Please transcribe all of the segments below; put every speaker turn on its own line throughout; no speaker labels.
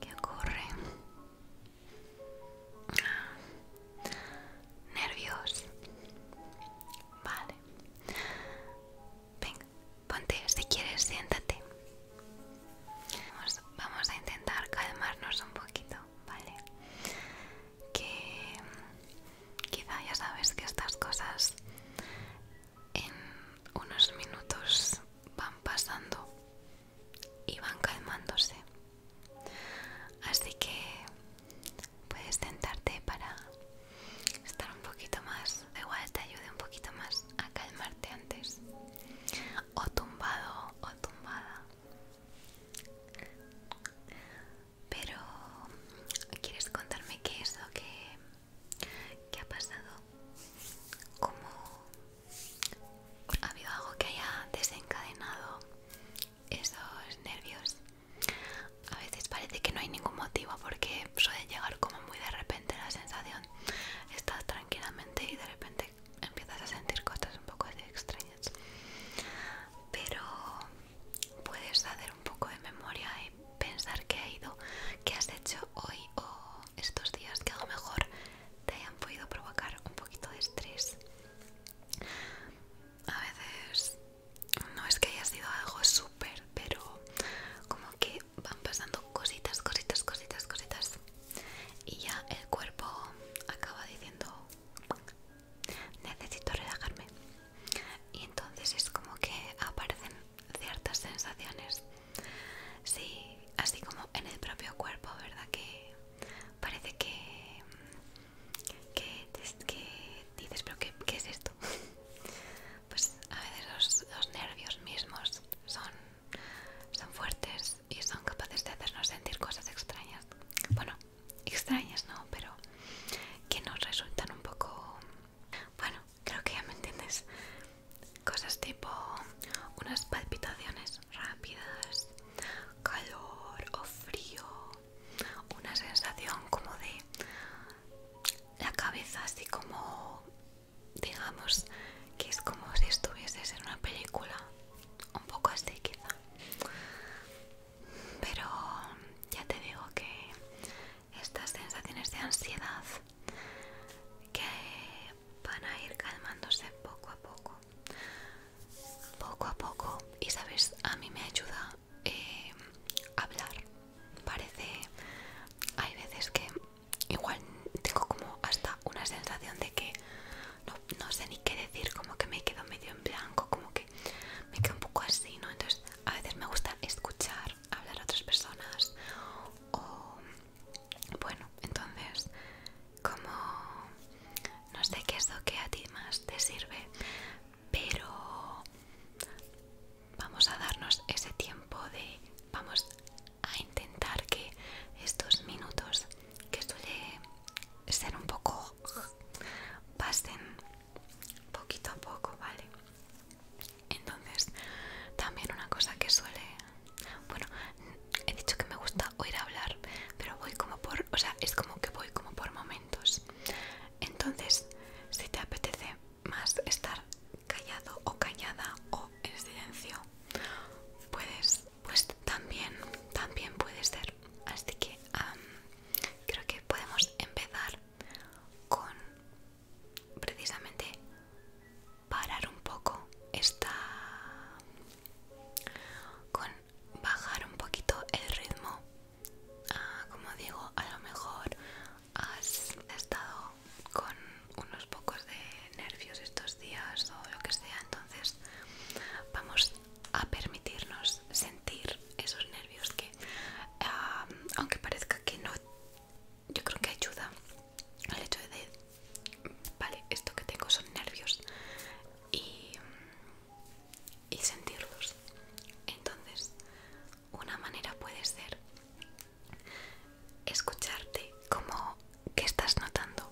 ¿Qué ocurre? Ah, nervios. Vale. Venga, ponte, si quieres, siéntate. Vamos, vamos a intentar calmarnos un poquito, ¿vale? Que mm, quizá ya sabes que estas cosas en unos minutos van pasando y van calmándose. Así que puedes sentarte para estar un poquito más, igual te ayude un poquito más a calmarte antes. O tumbado o tumbada. Pero, ¿quieres contarme qué es lo que ¿Qué ha pasado? ¿Cómo ha habido algo que haya desencadenado esos nervios? A veces parece que no hay ningún motivo porque suele llegar como muy de repente la sensación. Estás tranquilamente y de repente empiezas a sentir cosas un poco extrañas. Pero puedes hacer un poco de memoria y pensar que ha ido, que has hecho hoy o estos días que a lo mejor te hayan podido provocar un poquito de estrés. A veces no es que haya sido algo súper, pero como que van pasando cositas, cositas, cositas, cositas. Y ya el cuerpo acaba diciendo, necesito relajarme y entonces es como que aparecen ciertas sensaciones sí así como en el propio cuerpo verdad que parece que dices pero qué, es esto pues a veces los, nervios mismos son son fuertes y son capaces de hacernos sentir cosas extrañas bueno extrañas no pero que nos resultan un poco bueno, creo que ya me entiendes. Cosas tipo unas palpitaciones rápidas, calor o frío, una sensación como de la cabeza así como, digamos, que es como si estuvieses en una película, un poco así quizá. Pero ya te digo que estas sensaciones de ansiedad que van a ir calmándose poco a poco poco a poco y sabes a mí me ayuda eh, hablar parece hay veces que igual tengo como hasta una sensación de que no, no sé ni qué decir como que me quedo medio en blanco como que me quedo un poco así no entonces a veces me gusta escuchar hablar a otras personas o bueno entonces como no sé qué es lo que a ti más te sirve pero vamos a darnos ese tiempo de vamos a intentar que estos minutos que suele ser un poco pasen poquito a poco, ¿vale? Entonces, también una cosa que suele... Bueno, he dicho que me gusta oír hablar, pero voy como por... O sea, es como que voy como por momentos. Entonces, si te apetece más estar callado o callada o en silencio, puedes... Pues también, también puede ser. Así que creo que podemos empezar con precisamente parar un poco esta con bajar un poquito el ritmo ah, como digo a lo mejor has estado con unos pocos de nervios estos días o lo que sea entonces vamos a permitirnos sentir esos nervios que ah, aunque parezca que no yo creo que ayuda al hecho de, vale, esto que tengo son nervios y, y sentirlos. Entonces, una manera puede ser escucharte como que estás notando,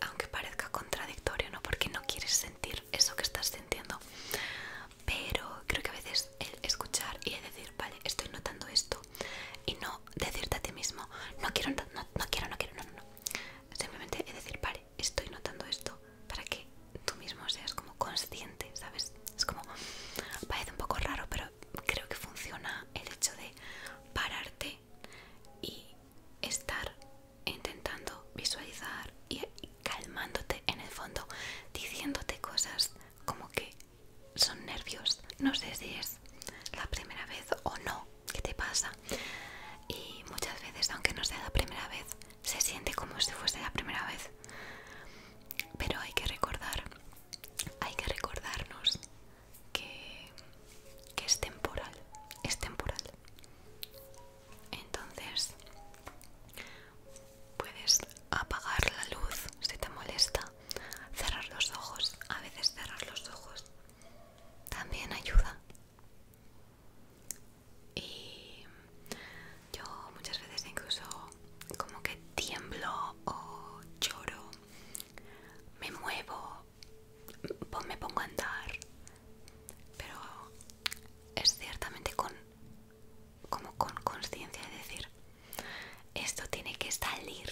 aunque parezca contradictorio, ¿no? Porque no quieres sentir eso que estás sintiendo pero creo que a veces el escuchar y decir, vale, estoy notando esto y no decirte a ti mismo, no quiero, no, quiero, no quiero, no, no, Simplemente es decir, vale, estoy notando esto para que tú mismo seas como consciente, ¿sabes? Es como, parece un poco raro, pero creo que funciona el hecho de pararte y estar intentando visualizar y, calmándote en el fondo, diciéndote cosas como que son nervios. No sé si es la primera vez o no que te pasa. Y muchas veces, aunque no sea la primera vez, se siente como si fuese la primera vez. Pero hay que recordar, hay que recordarnos que, que es temporal, es temporal. Entonces, Puedes apagar la luz si te molesta, cerrar los ojos, a veces cerrar los ojos también ayuda. Y yo muchas veces incluso como que tiemblo o lloro, me muevo, me pongo a andar, pero es ciertamente con como con conciencia de decir, esto tiene que salir,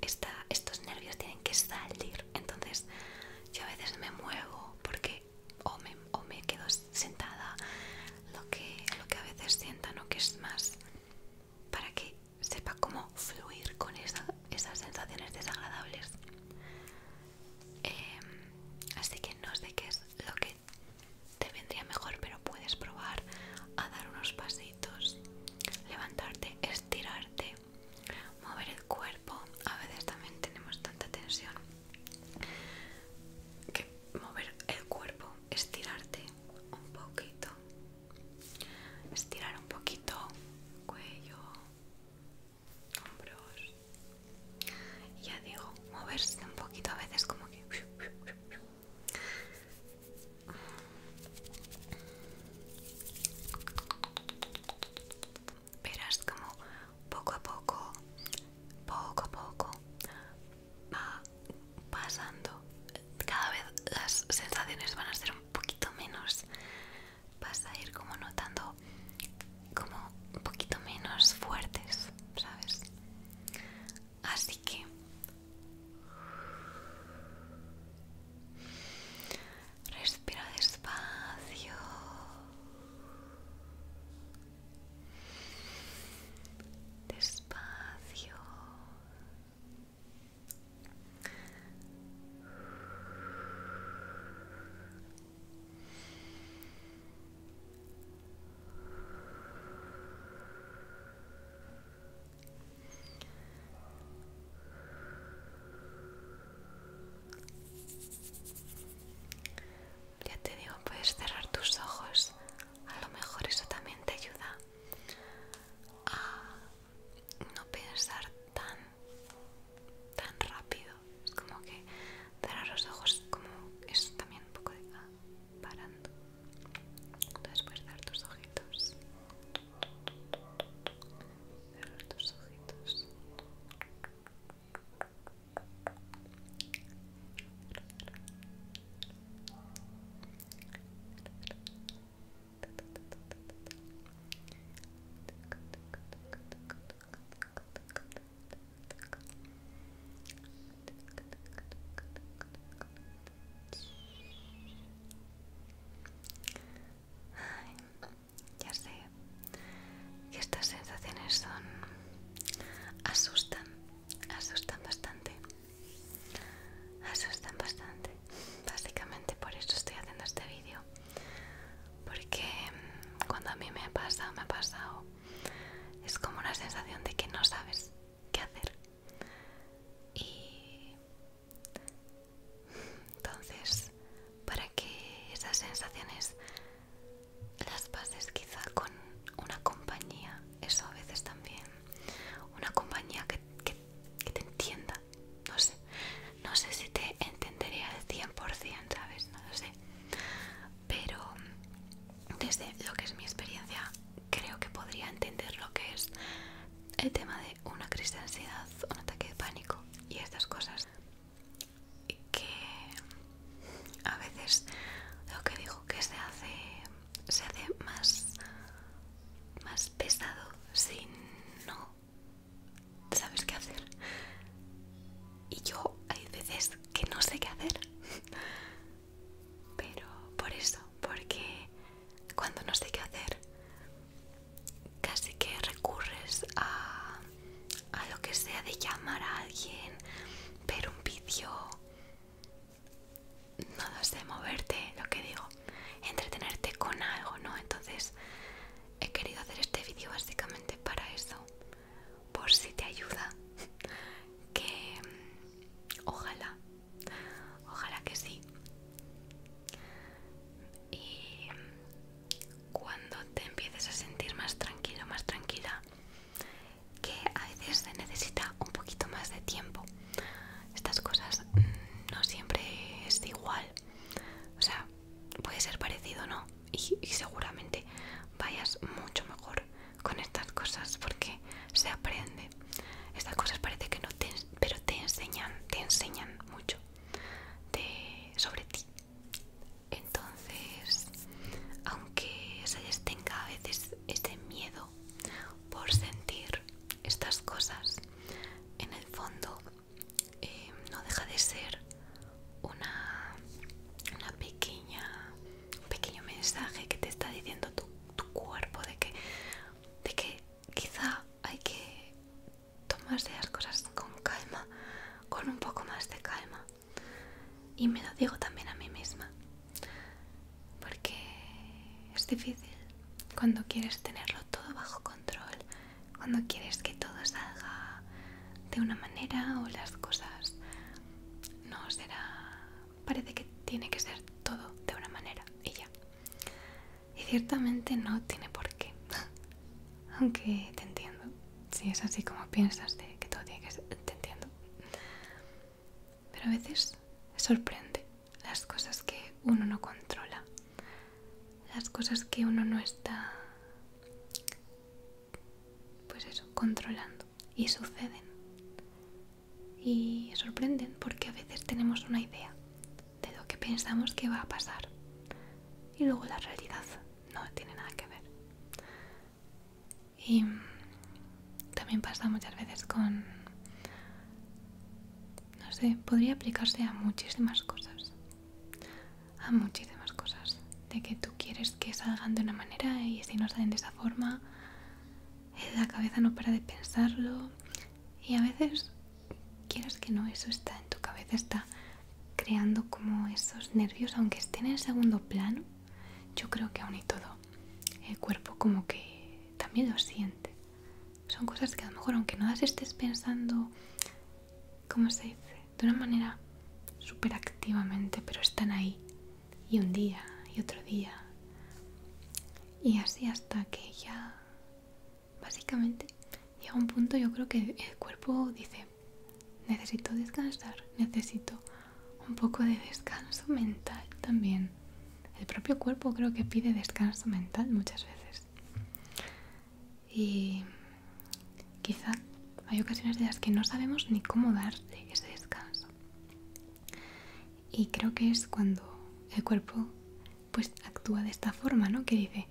esta, estos nervios tienen que salir. Entonces yo a veces me muevo porque o me, quedo sentada, lo que, lo que a veces sientan o que es más para que sepa cómo fluir con esas sensaciones desagradables. Em, así que no sé qué es lo que te vendría mejor, pero puedes probar a dar unos pasitos, levantarte, estirarte, mover el cuerpo. A veces también tenemos tanta tensión que mover el cuerpo, estirarte un poquito, estirar un poquito cuello, hombros. Ya digo, moverse un poquito a veces como que Verás como poco a poco, poco a poco va pasando. Cada vez las sensaciones van a ser un poquito menos. Vas a ir como notando como un poquito menos fuertes, ¿sabes? Así que respira despacio. Despacio. Ya te digo, puedes cerrar tus ojos. A lo mejor eso también te ayuda a no pensar tan, tan rápido. Es como que cerrar los ojos como es también un poco de parando después de tus ojitos cerrar tus ojitos ya sé que estas sensaciones son asustan, asustan bastante, asustan bastante. Básicamente por eso estoy haciendo este vídeo, porque mm, cuando a mí me pasado, me ha pasado, es como una sensación de que no sabes qué hacer. Y entonces, para que esas sensaciones las pases quizá con una compañía, eso a veces también, una compañía que, te entienda, no sé, no sé si te entendería al 100%, ¿sabes? No lo sé, pero desde lo que es mi experiencia creo que podría entender lo que es el tema de una crisis de ansiedad, un ataque de pánico y estas cosas que a veces lo que digo que se hace se hace más más pesado si no sabes qué hacer y yo hay veces que no sé qué hacer pero por eso, porque cuando no sé qué hacer, casi que recurres a, lo que sea de llamar a alguien, ver un vídeo, no lo sé, moverte, lo que digo, entretenerte con algo, ¿no? Entonces he querido hacer este vídeo básicamente para eso, por si te ayuda que ojalá ojalá que sí y cuando te empieces a sentir más tranquilo más tranquila que a veces se necesita un poquito más de tiempo estas cosas mm, no siempre es igual o sea puede ser parecido no y, y seguramente vayas mucho mejor con estas cosas porque se aprende. Estas cosas parece que no te, pero te enseñan, te enseñan mucho de, sobre ti. Entonces, aunque les tenga a veces este miedo por sentir estas cosas, en el fondo eh, no deja de ser una, una pequeña un pequeño mensaje que te está diciendo tu, cuerpo de que, de que quizá hay que tomarse las cosas con calma, con un poco más de calma. Y me lo digo también a mí misma, porque es difícil cuando quieres tenerlo todo bajo control, cuando quieres que todo salga de una manera o las cosas no será parece que tiene que ser todo de una manera y ya. Y ciertamente no tiene por qué. Aunque te entiendo. Si es así como piensas de que todo tiene que ser, te entiendo. Pero a veces sorprende las cosas que uno no controla. Las cosas que uno no está pues eso, controlando. Y suceden. Y sorprenden porque a veces tenemos una idea de lo que pensamos que va a pasar. Y luego la realidad no tiene nada que ver. Y también pasa muchas veces con... No sé, podría aplicarse a muchísimas cosas. A muchísimas cosas. De que tú quieres que salgan de una manera y si no salen de esa forma, eh, la cabeza no para de pensarlo y a veces quieres que no, eso está en tu cabeza, está creando como esos nervios, aunque estén en segundo plano, yo creo que aún y todo el cuerpo como que también lo siente. Son cosas que a lo mejor aunque no las estés pensando, ¿cómo se dice? De una manera súper activamente, pero están ahí y un día y otro día. Y así hasta que ya, básicamente, llega un punto yo creo que el cuerpo dice, necesito descansar, necesito un poco de descanso mental también. El propio cuerpo creo que pide descanso mental muchas veces. Y quizá hay ocasiones de las que no sabemos ni cómo darle ese descanso. Y creo que es cuando el cuerpo pues actúa de esta forma, ¿no? Que dice,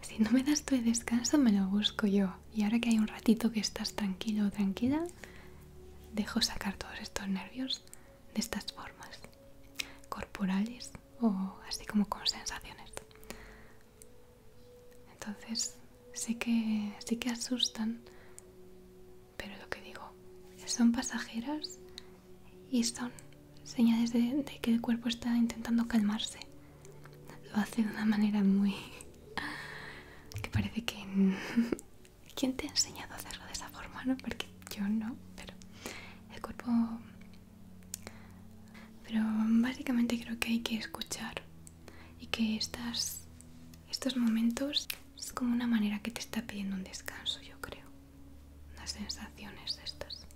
si no me das tu descanso me lo busco yo. Y ahora que hay un ratito que estás tranquilo o tranquila, dejo sacar todos estos nervios de estas formas corporales o así como con sensaciones. Entonces sé que, sí que asustan, pero lo que digo, son pasajeras y son señales de, que el cuerpo está intentando calmarse. Lo hace de una manera muy... que parece que... ¿Quién te ha enseñado a hacerlo de esa forma? ¿no? Porque yo no, pero el cuerpo... Pero básicamente creo que hay que escuchar y que estos momentos es como una manera que te está pidiendo un descanso, yo creo. Las sensaciones estas.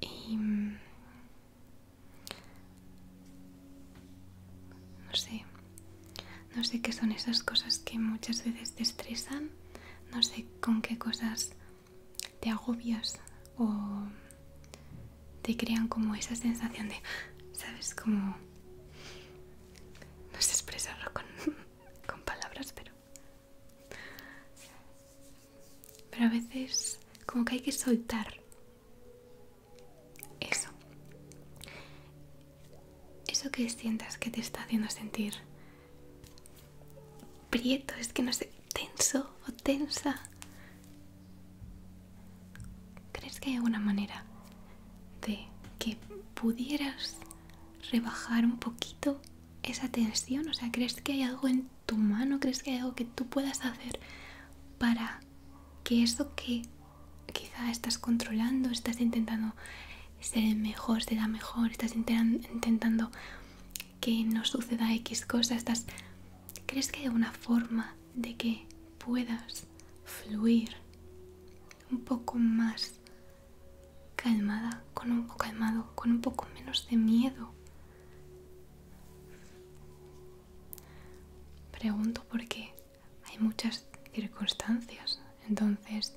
Y... Mm, no sé. No sé qué son esas cosas que muchas veces te estresan. No sé con qué cosas te agobias o te crean como esa sensación de, ¿sabes? Como... No sé expresarlo con, palabras, pero... Pero a veces como que hay que soltar eso. Eso que sientas que te está haciendo sentir prieto, es que no sé, tenso o tensa. ¿Crees que hay alguna manera de que pudieras rebajar un poquito esa tensión? O sea, ¿crees que hay algo en tu mano? ¿Crees que hay algo que tú puedas hacer para que eso que quizá estás controlando, estás intentando ser el mejor, sea la mejor, estás intentando que no suceda X cosa, estás ¿Crees que hay alguna forma de que puedas fluir un poco más calmada, con un poco calmado, con un poco menos de miedo? Pregunto porque hay muchas circunstancias, entonces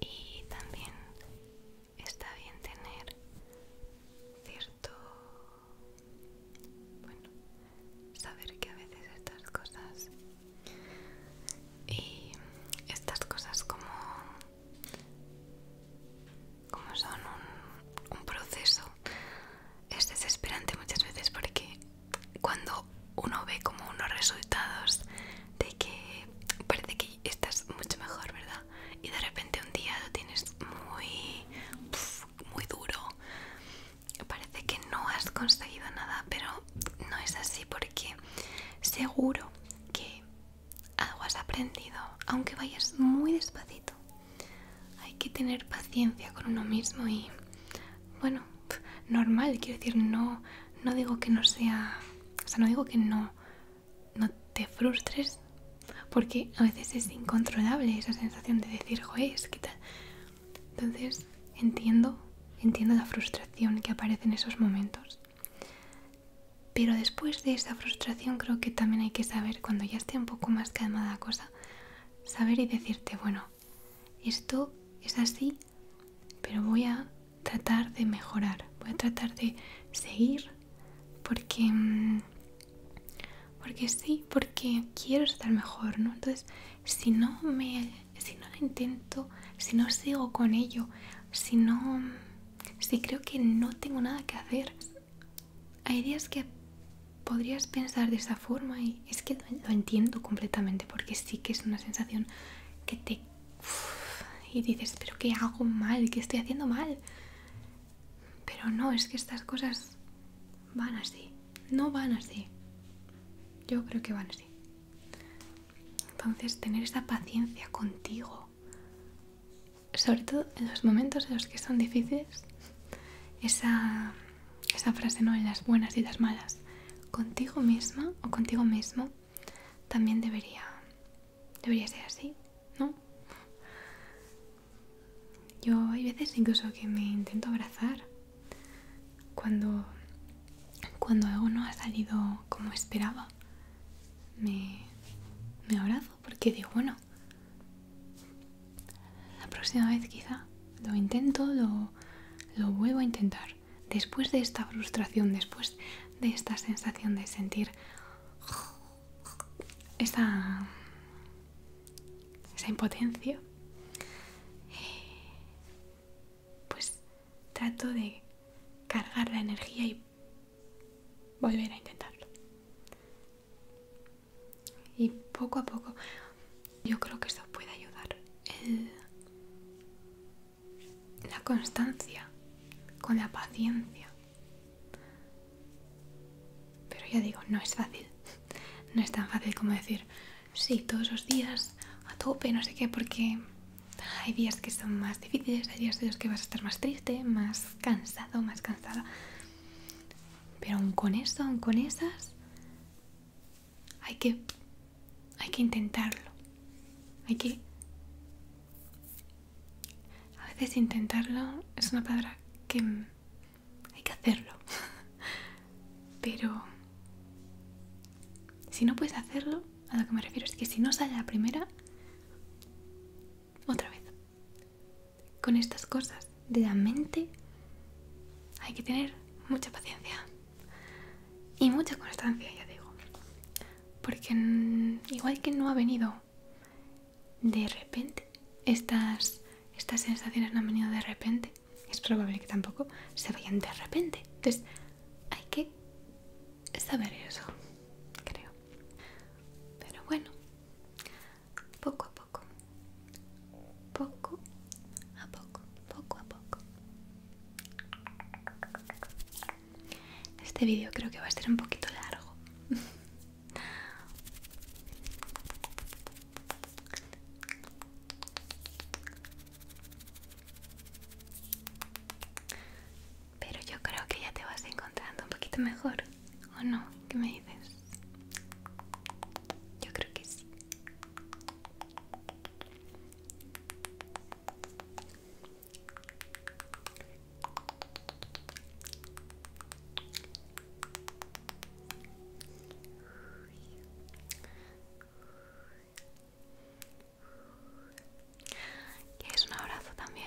y también está bien tener cierto bueno saber que a veces estas cosas y estas cosas como como son un, un proceso es desesperante muchas veces porque cuando uno ve como unos resultados de que parece que estás mucho mejor, ¿verdad? Y de repente un día lo tienes muy, muy duro. Parece que no has conseguido nada, pero no es así porque seguro que algo has aprendido, aunque vayas muy despacito hay que tener paciencia con uno mismo y bueno, normal, quiero decir, no, no digo que no sea, o sea, no digo que no, no te frustres, porque a veces es incontrolable esa sensación de decir, joder, es que tal. Entonces, entiendo, entiendo la frustración que aparece en esos momentos. Pero después de esa frustración creo que también hay que saber, cuando ya esté un poco más calmada la cosa, saber y decirte, bueno, esto es así, pero voy a tratar de mejorar, voy a tratar de seguir porque porque sí, porque quiero estar mejor, ¿no? Entonces, si no me si no lo intento, si no sigo con ello, si no si creo que no tengo nada que hacer, hay días que podrías pensar de esa forma y es que lo entiendo completamente porque sí que es una sensación que te... y dices, pero ¿qué hago mal? ¿Qué estoy haciendo mal? Pero no, es que estas cosas van así, no van así. Yo creo que van así. Entonces, tener esa paciencia contigo, sobre todo en los momentos en los que son difíciles, esa esa frase no en las buenas y las malas, contigo misma o contigo mismo también debería, debería ser así, ¿no? Yo hay veces incluso que me intento abrazar cuando, cuando algo no ha salido como esperaba. Me, me abrazo porque digo, bueno, la próxima vez quizá lo intento, lo, vuelvo a intentar. Después de esta frustración, después de esta sensación de sentir esa, esa impotencia, pues trato de cargar la energía y volver a intentarlo y poco a poco yo creo que eso puede ayudar la constancia con la paciencia pero ya digo no es fácil no es tan fácil como decir sí todos los días a tope no sé qué porque hay días que son más difíciles hay días de los que vas a estar más triste más cansado más cansada pero aún con eso Aún con esas hay que, hay que intentarlo. Hay que... A veces intentarlo es una palabra que hay que hacerlo. Pero... Si no puedes hacerlo, a lo que me refiero es que si no sale la primera, otra vez. Con estas cosas de la mente hay que tener mucha paciencia y mucha constancia, ya digo. Porque igual que no ha venido de repente, estas, estas sensaciones no han venido de repente, es probable que tampoco se vayan de repente. Entonces hay que saber eso, creo. Pero bueno, poco a poco poco, poco a poco, poco a poco. Este vídeo creo que va a ser un poquito largo. Pero yo creo que ya te vas encontrando un poquito mejor, ¿o no? ¿Qué me dices? Yo creo que sí. Es un abrazo también?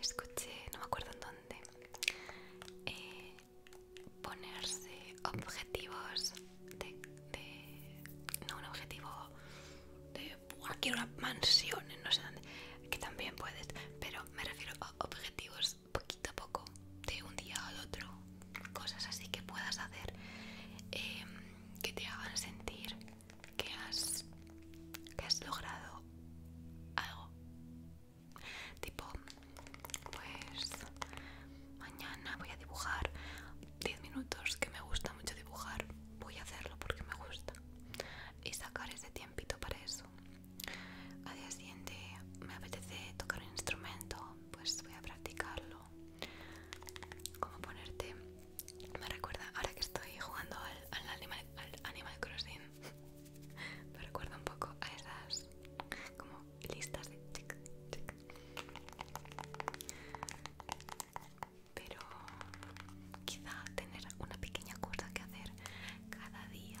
Escuché, no me acuerdo en dónde, eh, ponerse objetivos de, No, un objetivo de... aquí una mansión no sé dónde, que también puedes, pero me refiero a objetivos poquito a poco, de un día al otro, cosas así que puedas hacer em, que te hagan sentir que has, que has logrado algo. Tipo, pues mañana voy a dibujar 10 minutos, que me gusta mucho dibujar, voy a hacerlo porque me gusta y sacar ese tiempito para eso. Al día siguiente me apetece tocar un instrumento, pues voy a practicarlo. Como ponerte, me recuerda, ahora que estoy jugando al, animal, Crossing, me recuerda un poco a esas como listas de Pero quizá tener una pequeña cosa que hacer cada día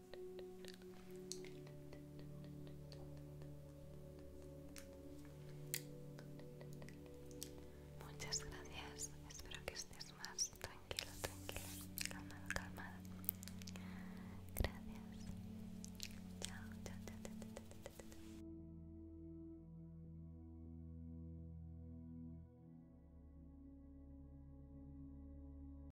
Muchas gracias, espero que estés más tranquilo, tranquila, calmado, calmado. Gracias.